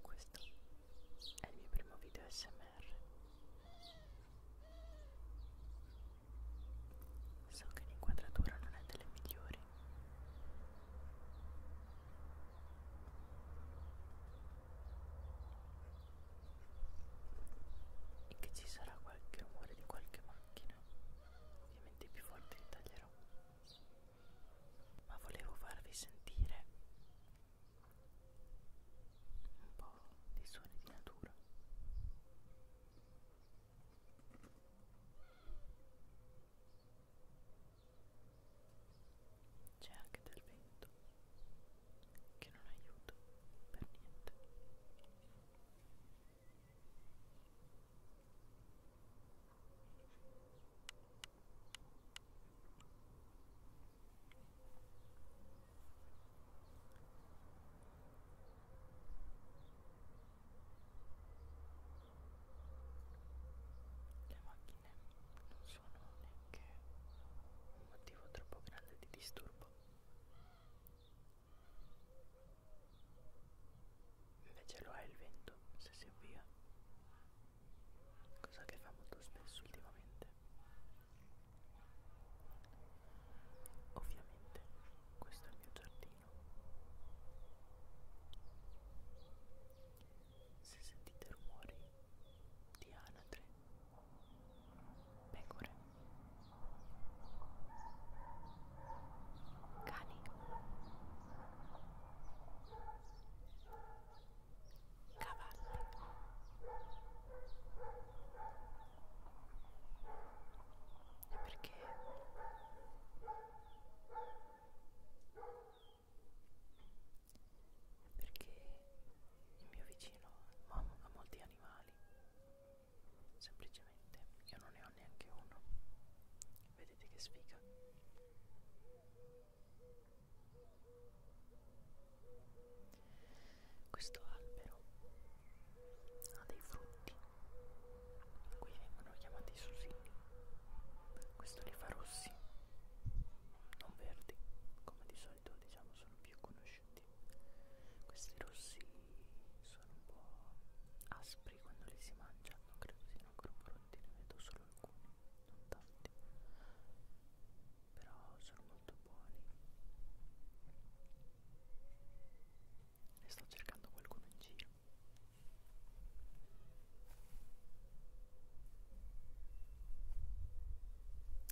Questo è il mio primo video SMR. So che l'inquadratura non è delle migliori. E che ci sarà qualche rumore di qualche macchina. Ovviamente più forte li taglierò ma volevo farvi sentire un po' dei suoni di natura. C'è anche del vento che non aiuta per niente. Le macchine non sono neanche un motivo troppo grande di disturbo. Invece lo ha il vento se si avvia cosa che fa molto spesso ultimamente ovviamente questo è il mio giardino se sentite rumori di anatre pecore cani cavalli e perché perché il mio vicino ha molti animali semplicemente io non ne ho neanche uno vedete che sfiga questo albero ha dei frutti, qui vengono chiamati susini, questo li fa rossi, non verdi, come di solito diciamo sono più conosciuti. Questi rossi sono un po' aspri quando li si mangia, non credo siano ancora pronti, ne vedo solo alcuni, non tanto veramente però sono molto buoni e sto cercando qualcuno in giro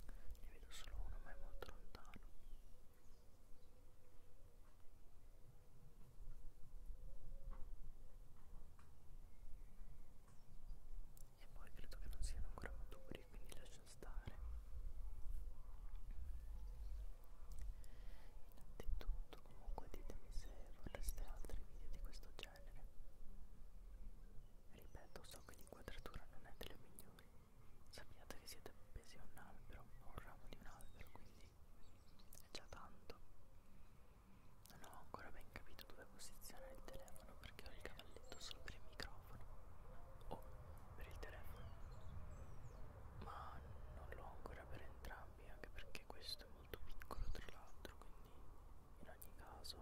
ne vedo solo uno ma è molto lontano e poi credo che non siano ancora maturi quindi lascia stare innanzitutto comunque ditemi se vorreste altri video di questo genere ripeto so che l'inquadratura non è delle migliori sappiate che siete appesi a un albero o a un ramo di un albero quindi è già tanto non ho ancora ben capito dove posizionare il telefono perché ho il cavalletto solo per il microfono o per il telefono, ma non l'ho ancora per entrambi anche perché questo è molto piccolo tra l'altro, quindi in ogni caso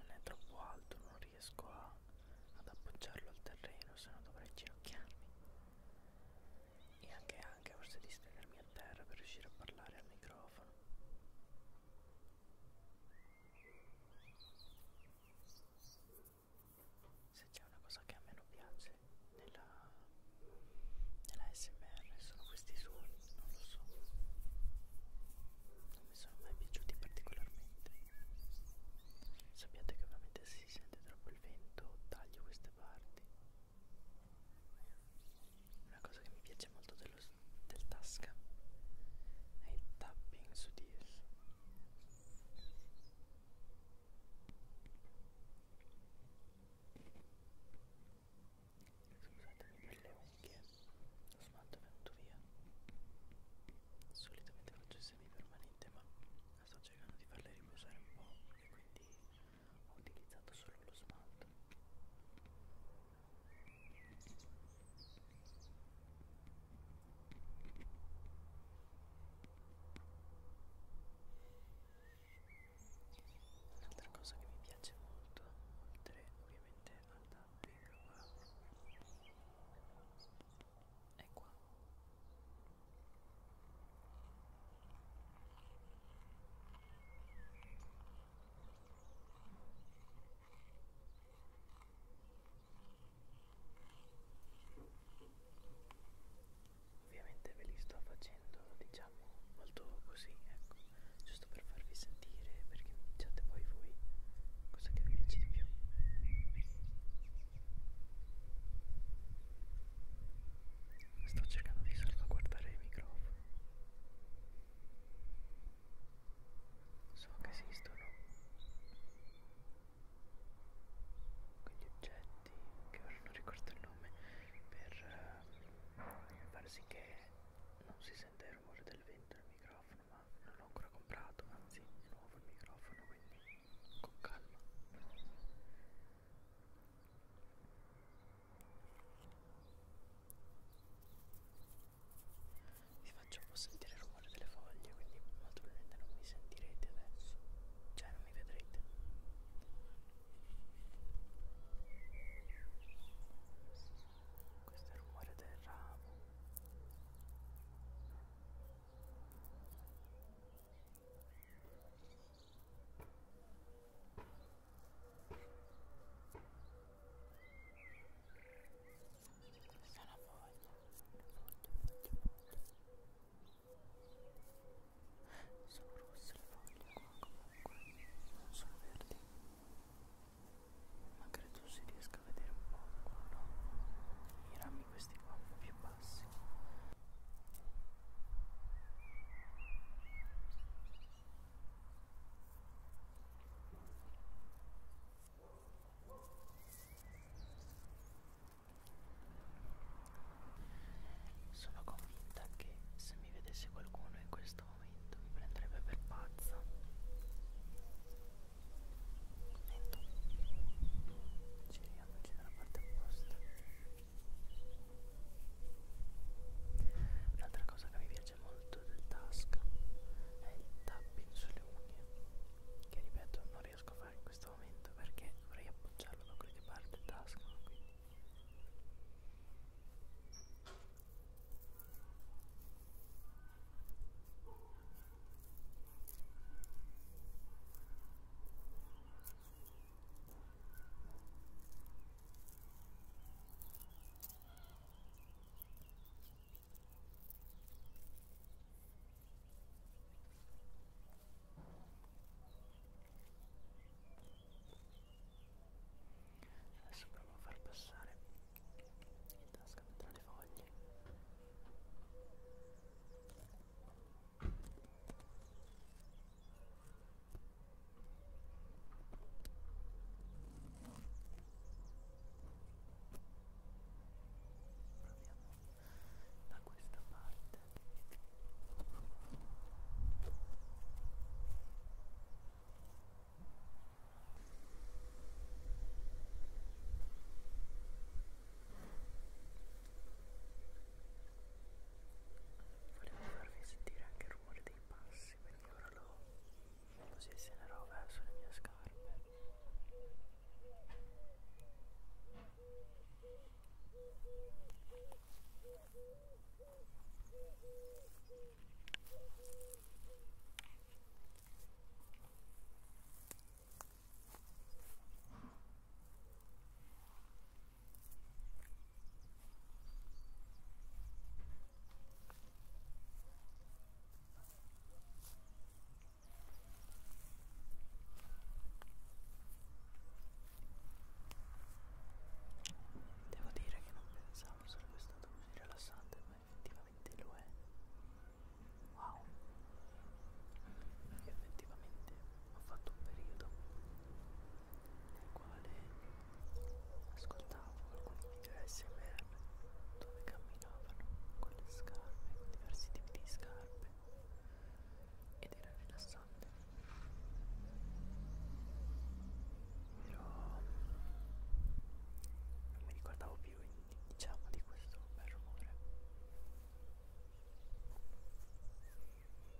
non è troppo alto, non riesco a, ad appoggiarlo al terreno, se no dovrei ginocchiarmi e anche anche forse di stenermi a terra per riuscire a parlare al microfono se c'è una cosa che a me non piace nella, nella smr sono questi suoni non lo so non mi sono mai piaciuti particolarmente sappiate che ovviamente si sente troppo il vento taglio queste parti una cosa che mi piace molto dello, del Tasca è il tapping su Tears. Scusatemi per le unghie, lo smalto è venuto via. Solitamente faccio semi permanente ma sto cercando di farle riposare un po' e quindi ho utilizzato solo lo smalto un'altra cosa che mi piace molto oltre ovviamente al tapping wow. è qua Ovviamente ve li sto facendo diciamo molto così, ecco, giusto per farvi sentire, perché mi diciate poi voi cosa che vi piace di più. Sto cercando di salvaguardare il microfono. So che esistono quegli oggetti che ora non ricordo il nome per uh, far sì che non si sente il rumore del vento nel microfono, ma non l'ho ancora comprato, anzi è nuovo il microfono, quindi con calma. Vi faccio un po' sentire il rumore delle foglie, quindi molto probabilmente non mi sentirete adesso, cioè non mi vedrete. Questo è il rumore del ramo. Sono voglia, voglia, voglia. Sono rosse le foglie qua comunque, non sono verdi. Ma credo si riesca a vedere un po' qua, no? I rami questi qua più bassi sono convinta che se mi vedesse qualcuno in questo momento mi prenderebbe per pazza. Lento. Giriamoci dalla parte opposta. Un'altra cosa che mi piace molto del task è il tapping sulle unghie, che ripeto non riesco a fare in questo momento perché dovrei appoggiarlo da quelle parte del task. No? Quindi. Ecco Adesso provo a far passare in tasca tra le foglie. Proviamo da questa parte. Volevo farvi sentire anche il rumore dei passi, quindi ora lo posizionerò verso le mie scarpe. Ora Devo dire che non pensavo sarebbe stato così rilassante, ma effettivamente lo è. Wow! Io effettivamente ho fatto un periodo nel quale ascoltavo alcuni video SMR dove camminavano con le scarpe, con diversi tipi di scarpe ed era rilassante. Però non mi ricordavo più diciamo di questo bel rumore.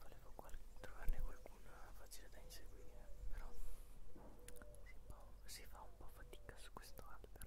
Volevo qual trovarne qualcuno facile da inseguire, però si, si fa un po' fatica su questo albero.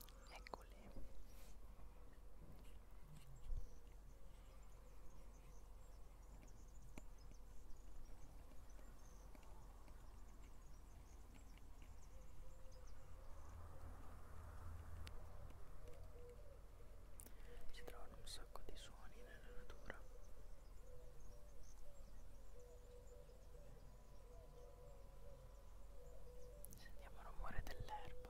eccole si trovano un sacco di suoni nella natura Sentiamo il rumore dell'erba.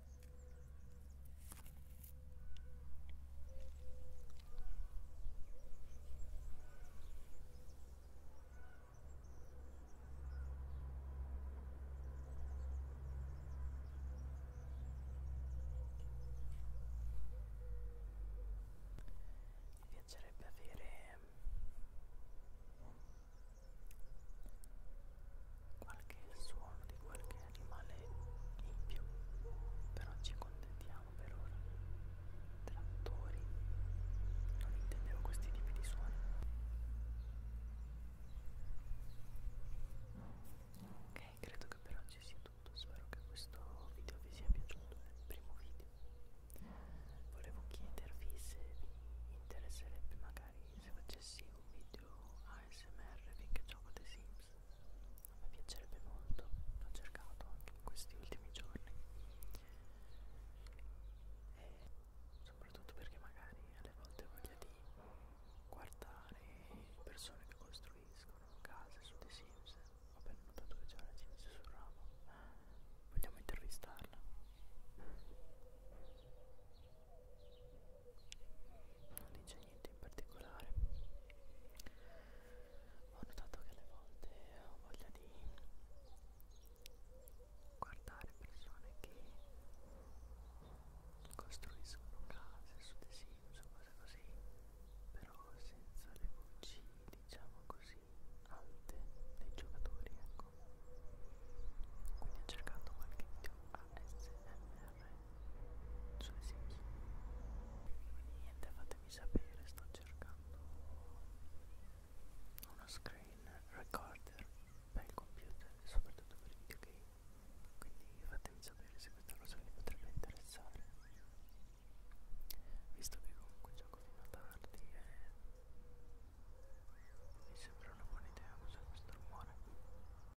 Mi piacerebbe avere qualche suono di qualche animale in più, però ci contentiamo per ora. Trattori, non intendevo questi tipi di suoni. Ok, credo che per oggi sia tutto, spero che questo video vi sia piaciuto, è il primo video. Volevo chiedervi se vi interesserebbe magari se facessi un video ASMR finché gioco The Sims mi piacerebbe molto, l'ho cercato anche in questi ultimi giorni e soprattutto perché magari alle volte ho voglia di guardare persone che costruiscono case su The Sims ho appena notato che c'è una Sims sul ramo vogliamo intervistarla non dice niente in particolare ho notato che alle volte ho voglia di guardare persone che costruiscono case su The Sims o cose così però senza le voci diciamo così alte dei giocatori ecco quindi ho cercato qualche video ASMR me sulle singhiere niente fatemi sapere sto cercando uno screen recorder per il computer e soprattutto per i videogame quindi fatemi sapere se questa cosa vi potrebbe interessare visto che comunque gioco fino a tardi e mi sembra una buona idea usare questo rumore